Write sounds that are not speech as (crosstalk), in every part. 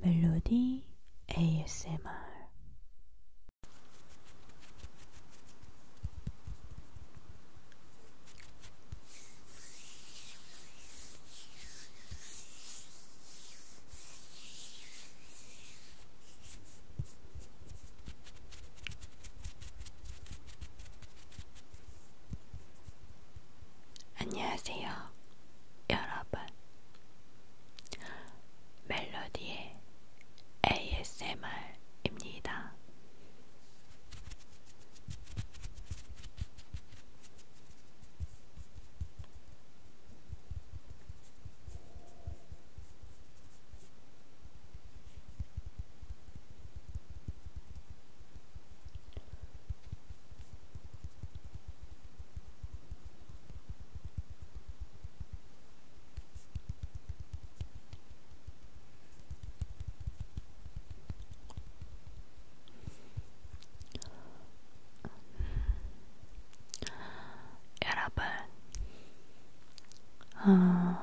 멜로디 ASMR 안녕하세요. 여러분, 멜로디의 ASMR입니다. 여러분, 어,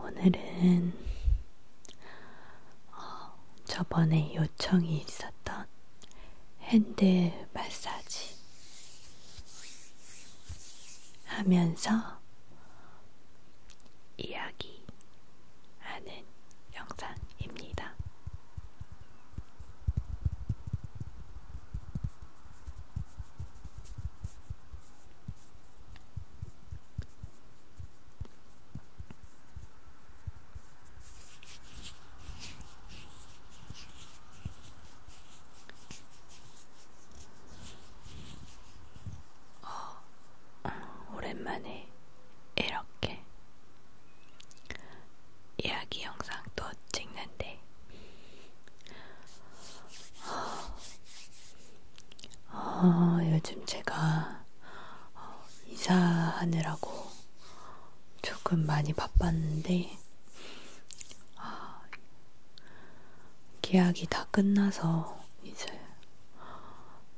오늘은 어, 저번에 요청이 있어 있었던 핸드 마사지 하면서 이야기하는 영상입니다. 어, 오랜만에 이렇게 이야기 영상도 찍는데 어, 어, 요즘 제가 어, 이사하느라고 조금 많이 바빴는데 아, 계약이 다 끝나서 이제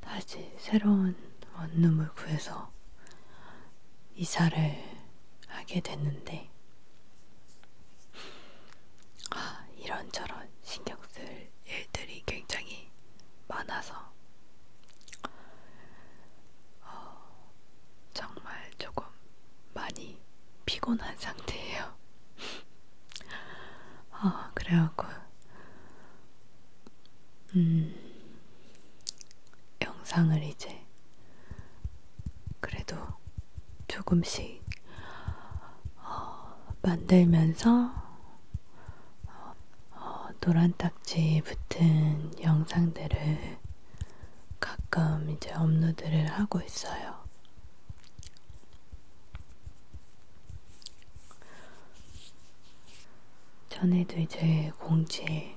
다시 새로운 원룸을 구해서 이사를 하게 됐는데 아, 이런저런 신경 쓸 일들이 굉장히 많아서 어, 정말 조금 많이 피곤한 (laughs) 상태예요. 어, 그래갖고 음, 영상을 이제 그래도 조금씩 어, 만들면서 어, 어, 노란 딱지 붙은 영상들을 가끔 이제 업로드를 하고 있어요. 전에도 이제 공지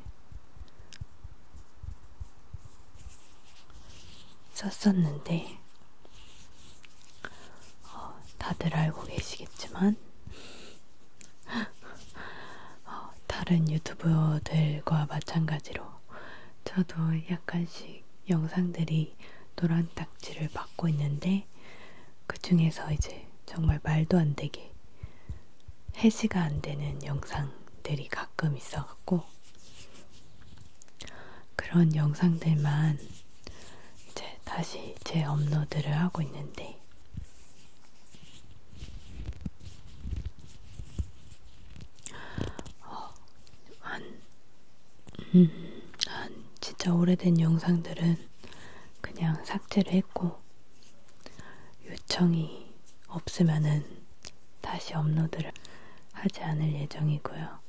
썼었는데, 어, 다들 알고 계시겠지만, 어, 다른 유튜버들과 마찬가지로 저도 약간씩 영상들이 노란 딱지를 받고 있는데 그 중에서 이제 정말 말도 안 되게 해지가 안 되는 영상들이 가끔 있어갖고 그런 영상들만 이제 다시 제 업로드를 하고 있는데 어, 한, 음, 한 진짜 오래된 영상들은 그냥 삭제를 했고 요청이 없으면은 다시 업로드를 하지 않을 예정이고요.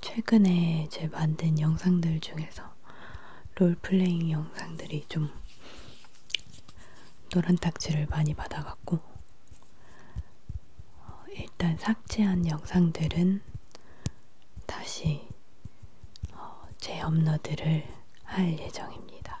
최근에 제 만든 영상들 중에서 롤플레잉 영상들이 좀 노란 딱지를 많이 받아갖고 어, 일단 삭제한 영상들은 다시 제 어, 업로드를 할 예정입니다.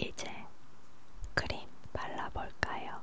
이제 크림 발라볼까요?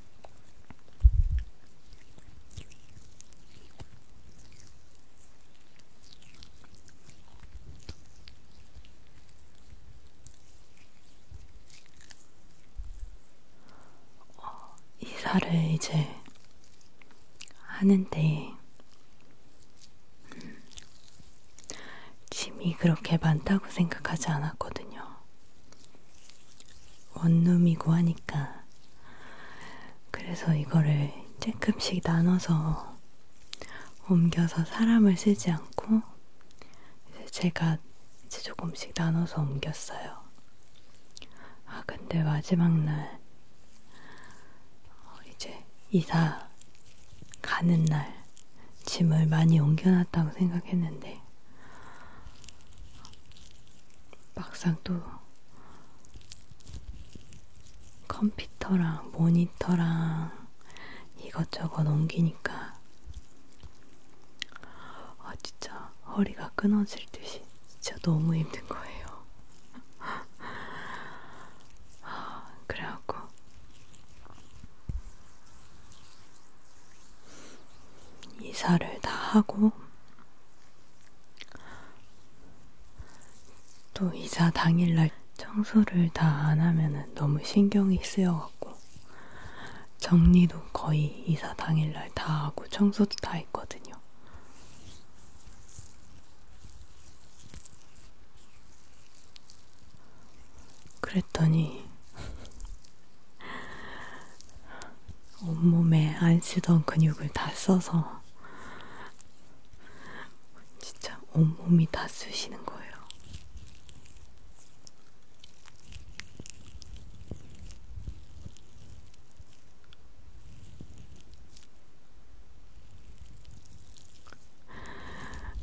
어, 이사를 이제 하는데 음, 짐이 그렇게 많다고 생각하지 않았거든요. 원룸이고 하니까 그래서 이거를 조금씩 나눠서 옮겨서 사람을 쓰지 않고 이제 제가 이제 조금씩 나눠서 옮겼어요. 아 근데 마지막 날 어, 이제 이사 가는 날 짐을 많이 옮겨놨다고 생각했는데 했는데 막상 또 컴퓨터랑 모니터랑 이것저것 옮기니까 아 진짜 허리가 끊어질 듯이 진짜 너무 힘든 거예요. (laughs) 아, 그래갖고 이사를 다 하고 또 이사 당일날 청소를 다 안 하면은 너무 신경이 쓰여갖고 정리도 거의 이사 당일날 다 하고 청소도 다 했거든요. 그랬더니 온몸에 안 쓰던 근육을 다 써서 진짜 온몸이 다 쓰시는 거예요.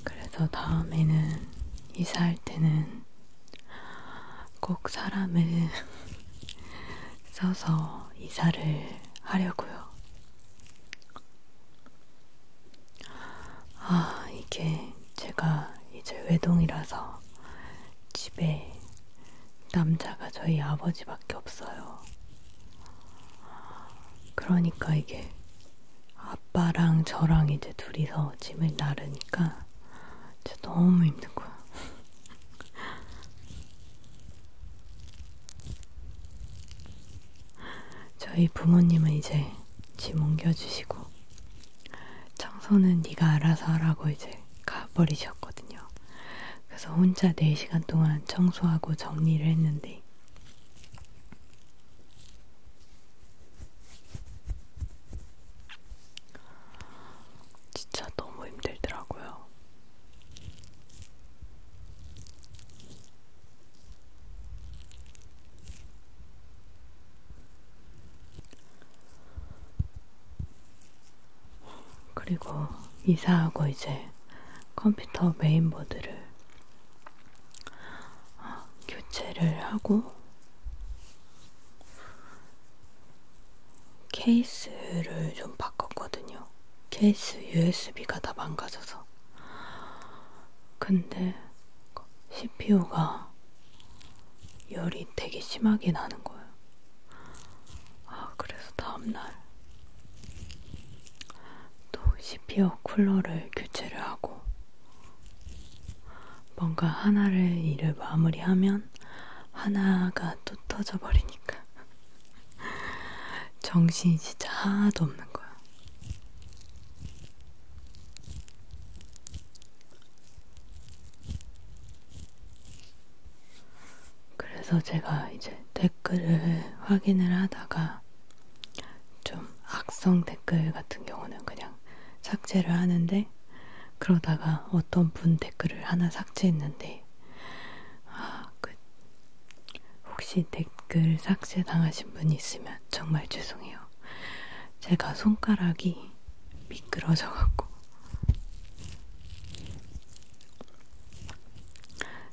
그래서 다음에는 이사할 때는 꼭 사람을 (laughs) 써서 이사를 하려고요. 아, 이게 제가 이제 외동이라서 집에 남자가 저희 아버지밖에 없어요. 그러니까 이게 아빠랑 저랑 이제 둘이서 짐을 나르니까 진짜 너무 힘든 거야. 저희 부모님은 이제 집 옮겨주시고 청소는 네가 알아서 하라고 이제 가버리셨거든요. 그래서 혼자 4시간 동안 청소하고 정리를 했는데 진짜 너무 힘들더라고요. 그리고 이사하고 이제 컴퓨터 메인보드를 아, 교체를 하고 케이스를 좀 바꿨거든요. 케이스 USB가 다 망가져서. 근데 CPU가 열이 되게 심하게 나는 거예요. 아, 그래서 다음날 또 CPU 쿨러를 교체를 하고 뭔가 하나를 일을 마무리하면 하나가 또 터져버리니까 (laughs) 정신이 진짜 하나도 없는 거야. 그래서 제가 이제 댓글을 확인을 하다가 좀 악성 댓글 같은 경우는 그냥 그냥 삭제를 하는데 그러다가 어떤 분 댓글을 하나 삭제했는데 아, 그 혹시 댓글 삭제 당하신 분이 있으면 정말 죄송해요. 제가 손가락이 미끄러져 갖고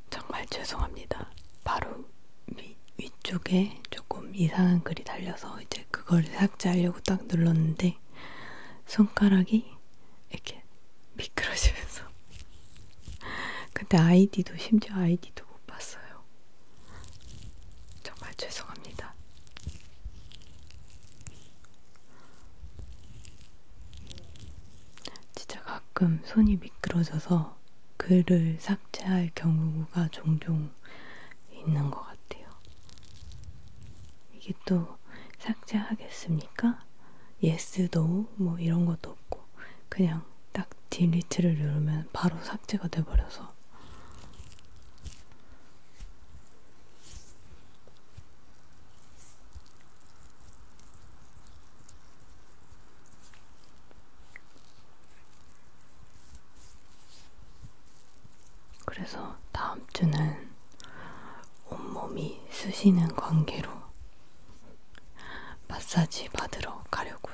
정말 죄송합니다. 바로 위, 위쪽에 조금 이상한 글이 달려서 이제 그걸 삭제하려고 딱 눌렀는데 손가락이 이렇게 미끄러지면서 (laughs) 근데 아이디도 심지어 아이디도 못 봤어요. 정말 죄송합니다. 진짜 가끔 손이 미끄러져서 글을 삭제할 경우가 종종 있는 것 같아요. 이게 또 삭제하겠습니까? yes, no 뭐 이런 것도 없고 그냥 딱 delete를 누르면 바로 삭제가 돼버려서 그래서 다음 주는 온몸이 쑤시는 관계로 마사지 받으러 가려고요.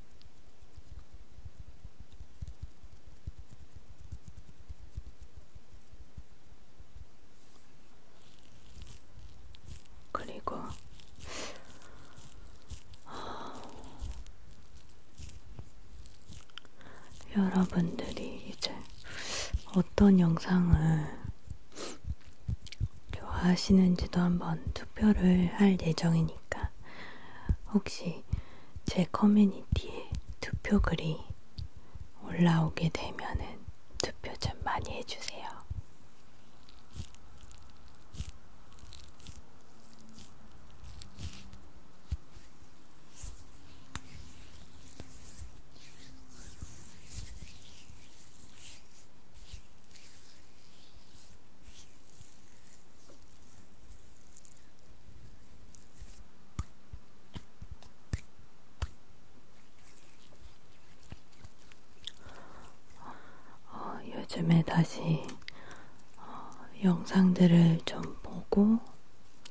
그리고 여러분들이 이제 어떤 영상을 좋아하시는지도 한번 투표를 할 예정이니까 혹시 제 커뮤니티에 투표 글이 올라오게 되면은 투표 좀 많이 해주세요. 어, 요즘에 다시 어, 영상들을 좀 보고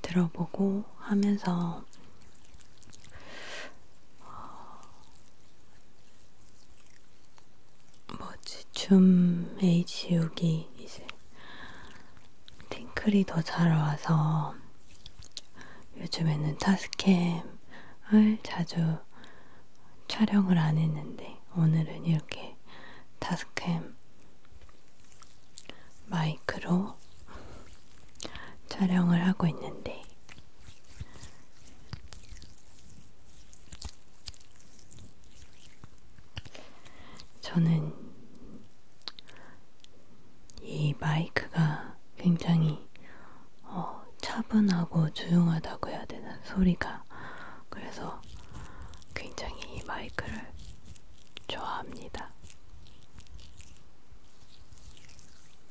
들어보고 하면서 어, 뭐지 춤 H육이 이제 팅클이 더 잘 와서 요즘에는 타스캠을 자주 촬영을 안 했는데 오늘은 이렇게 타스캠 마이크로 촬영을 하고 있는데 저는 이 마이크가 굉장히 어, 차분하고 조용하다고 해야 되나 소리가 그래서 굉장히 이 마이크를 좋아합니다.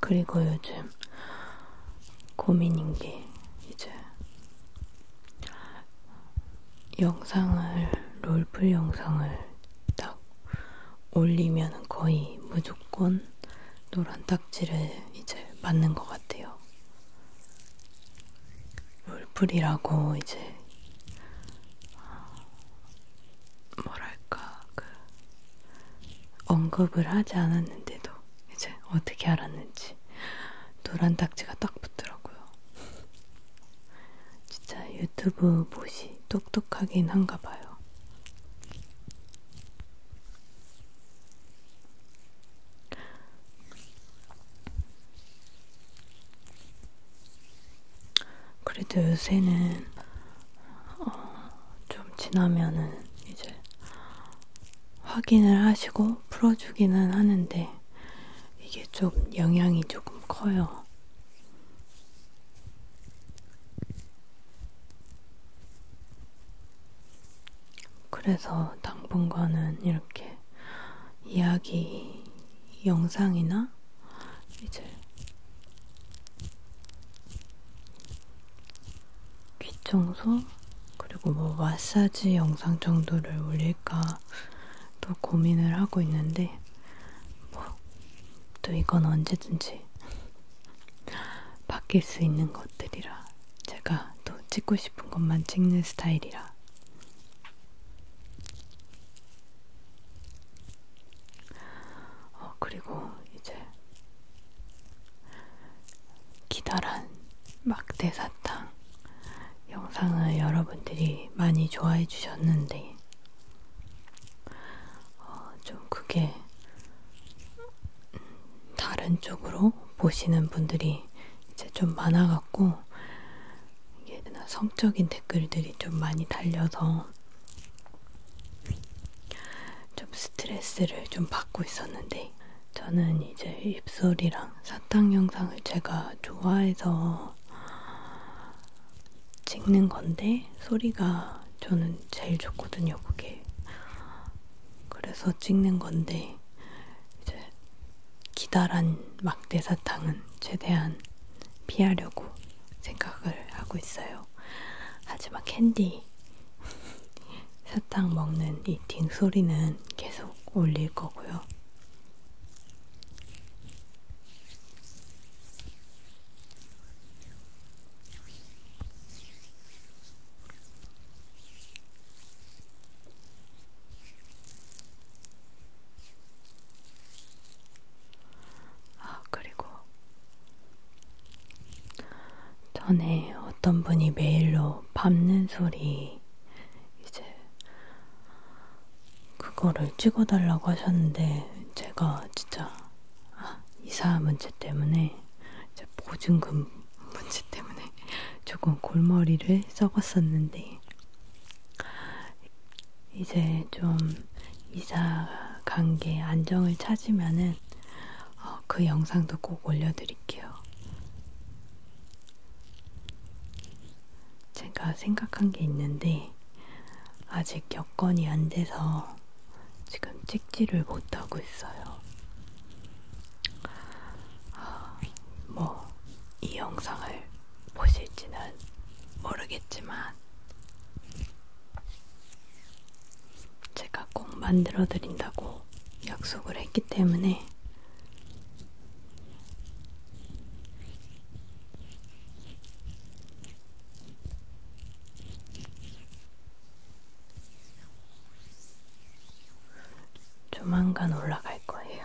그리고 요즘 고민인 게 이제 영상을 롤플 영상을 딱 올리면 거의 무조건 노란 딱지를 이제 맞는 것 같아요. 롤플이라고 이제 뭐랄까 그 언급을 하지 않았는데도 이제 어떻게 알았는지 노란 딱지가 딱 붙더라고요. 진짜 유튜브 못이 똑똑하긴 한가 봐요. 그래도 요새는 어, 좀 지나면은 이제 확인을 하시고 풀어주기는 하는데 이게 좀 영향이 조금 커요. 그래서 당분간은 이렇게 이야기 영상이나 이제 귀 청소 그리고 뭐 마사지 영상 정도를 올릴까 또 고민을 하고 있는데 뭐또 이건 언제든지 바뀔 수 있는 것들이라 제가 또 찍고 싶은 것만 찍는 스타일이라 어, 그리고 이제 기다란 막대 사탕 영상을 여러분들이 많이 좋아해 주셨는데 어, 좀 그게 음, 다른 쪽으로 보시는 분들이 이제 좀 많아갖고 이게 성적인 댓글들이 좀 많이 달려서 좀 스트레스를 좀 받고 있었는데 저는 이제 입술이랑 사탕 영상을 제가 좋아해서 찍는 건데 소리가 저는 제일 좋거든요, 그게. 그래서 찍는 건데 이제 기다란 막대 사탕은 최대한 피하려고 생각을 하고 있어요. 하지만 캔디 (laughs) 사탕 먹는 이팅 소리는 계속 올릴 거고요. 아, 그리고 전에 어떤 분이 메일로 밟는 소리 이제 그거를 찍어달라고 하셨는데 제가 진짜 아, 이사 문제 때문에 보증금 (laughs) 문제 때문에 조금 골머리를 썩었었는데 이제 좀 이사 관계 안정을 찾으면은 어, 그 영상도 꼭 올려드릴게요. 제가 생각한 게 있는데 아직 여건이 안 돼서 지금 찍지를 못하고 있어요. 아, 뭐, 이 영상을 보실지는 모르겠지만, 제가 꼭 만들어드린다고 약속을 했기 때문에, 조만간 올라갈 거예요.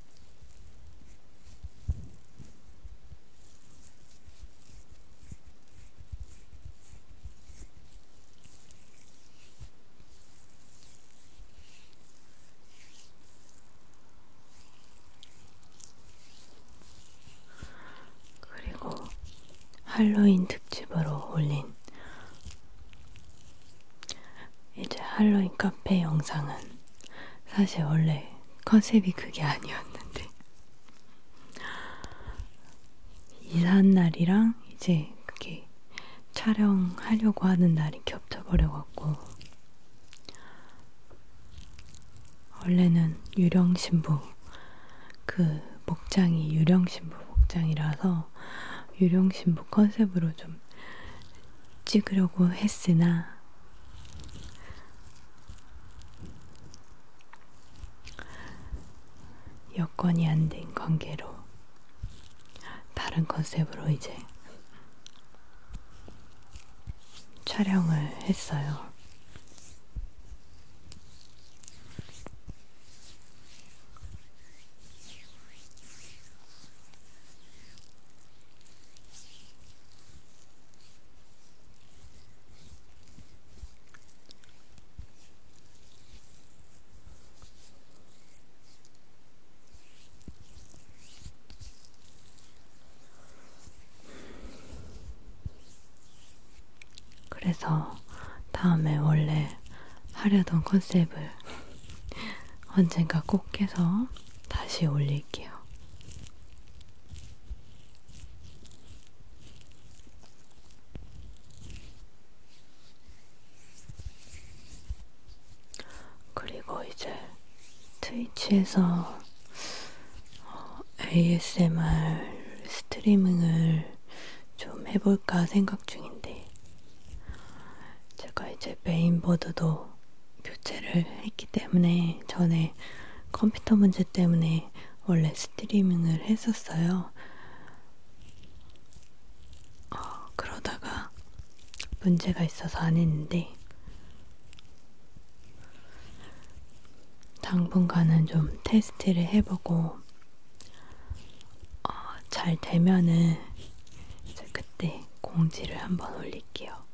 그리고 할로윈 특집으로 올린 이제 할로윈 카페 영상은 사실 원래 컨셉이 그게 아니었는데 이사한 날이랑 이제 그게 촬영하려고 하는 날이 겹쳐버려갖고 원래는 유령신부 그 복장이 유령신부 복장이라서 유령신부 컨셉으로 좀 찍으려고 했으나 여건이 안 된 관계로 다른 컨셉으로 이제 촬영을 했어요. 그래서 다음에 원래 하려던 컨셉을 언젠가 꼭 깨서 다시 올릴게요. 그리고 이제 트위치에서 ASMR 어, 스트리밍을 좀 해볼까 생각 중인데, 제가 이제 메인보드도 교체를 했기 때문에 전에 컴퓨터 문제 때문에 원래 스트리밍을 했었어요. 어, 그러다가 문제가 있어서 안 했는데 당분간은 좀 테스트를 해보고 어, 잘 되면은 그때 공지를 한번 올릴게요.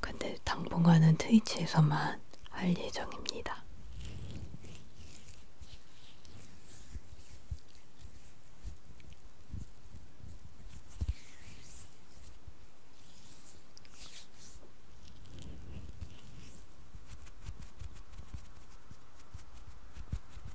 근데 당분간은 트위치에서만 할 예정입니다.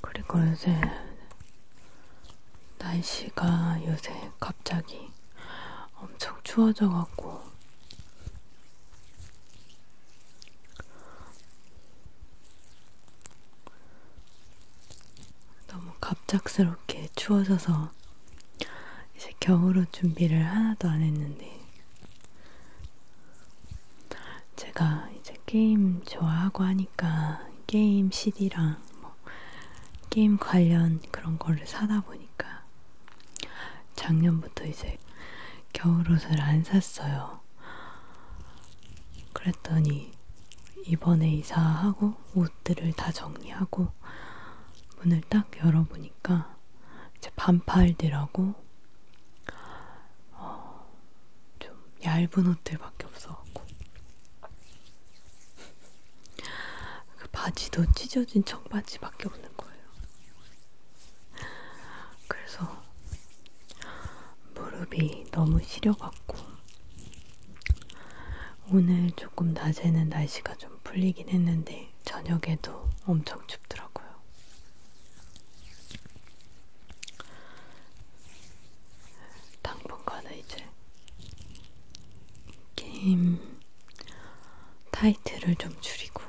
그리고 요새 날씨가 요새 갑자기 엄청 추워져갖고 너무 갑작스럽게 추워져서 이제 겨울옷 준비를 하나도 안 했는데 제가 이제 게임 좋아하고 하니까 게임 CD랑 뭐 게임 관련 그런 거를 사다 보니까 작년부터 이제 겨울옷을 안 샀어요. 그랬더니 이번에 이사하고 옷들을 다 정리하고 문을 딱 열어보니까 이제 반팔들하고 어, 좀 얇은 옷들밖에 없어갖고 그 바지도 찢어진 청바지밖에 없는 거예요. 그래서 무릎이 너무 시려갖고 오늘 조금 낮에는 날씨가 좀 풀리긴 했는데 저녁에도 엄청 춥더라고요. 당분간은 이제 게임 타이트를 좀 줄이고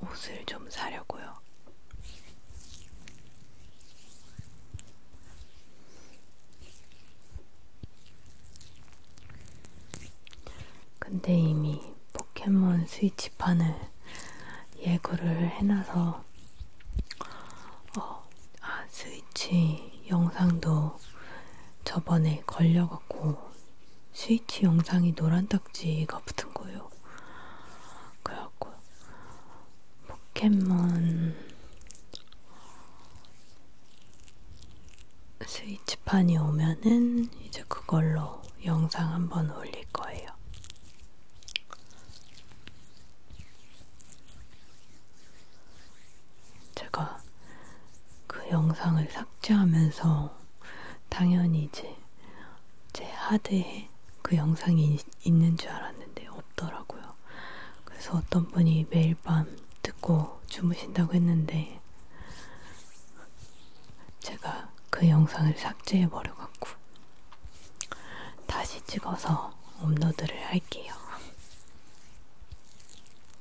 옷을 좀 사려고요. 근데 이미 포켓몬 스위치판을 예고를 해놔서 어, 아, 스위치 영상도 저번에 걸려갖고 스위치 영상이 노란 딱지가 붙은 거예요. 그래갖고 포켓몬 스위치판이 오면은 이제 그걸로 영상 한번 올릴 거예요. 제가 그 영상을 삭제하면서 당연히 이제 제 하드에 그 영상이 있는 줄 알았는데 없더라고요. 그래서 어떤 분이 매일 밤 듣고 주무신다고 했는데 제가 그 영상을 삭제해버려갖고 다시 찍어서 업로드를 할게요.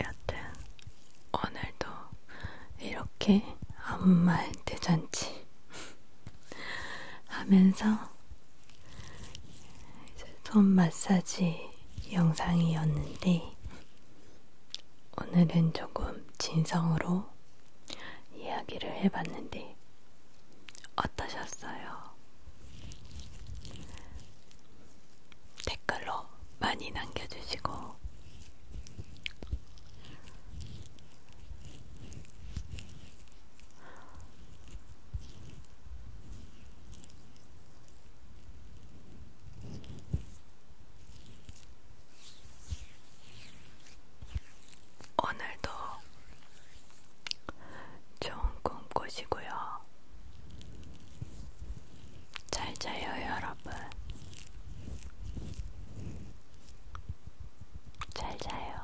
여튼 오늘도 이렇게 아무 말 대잔치 하면서 이제 손 마사지 영상이었는데 오늘은 조금 진성으로 이야기를 해봤는데 어떠셨어요? 댓글로 많이 남겨주시고 오늘도 좋은 꿈 꾸시고요. 잘 자요, 여러분. 잘 자요.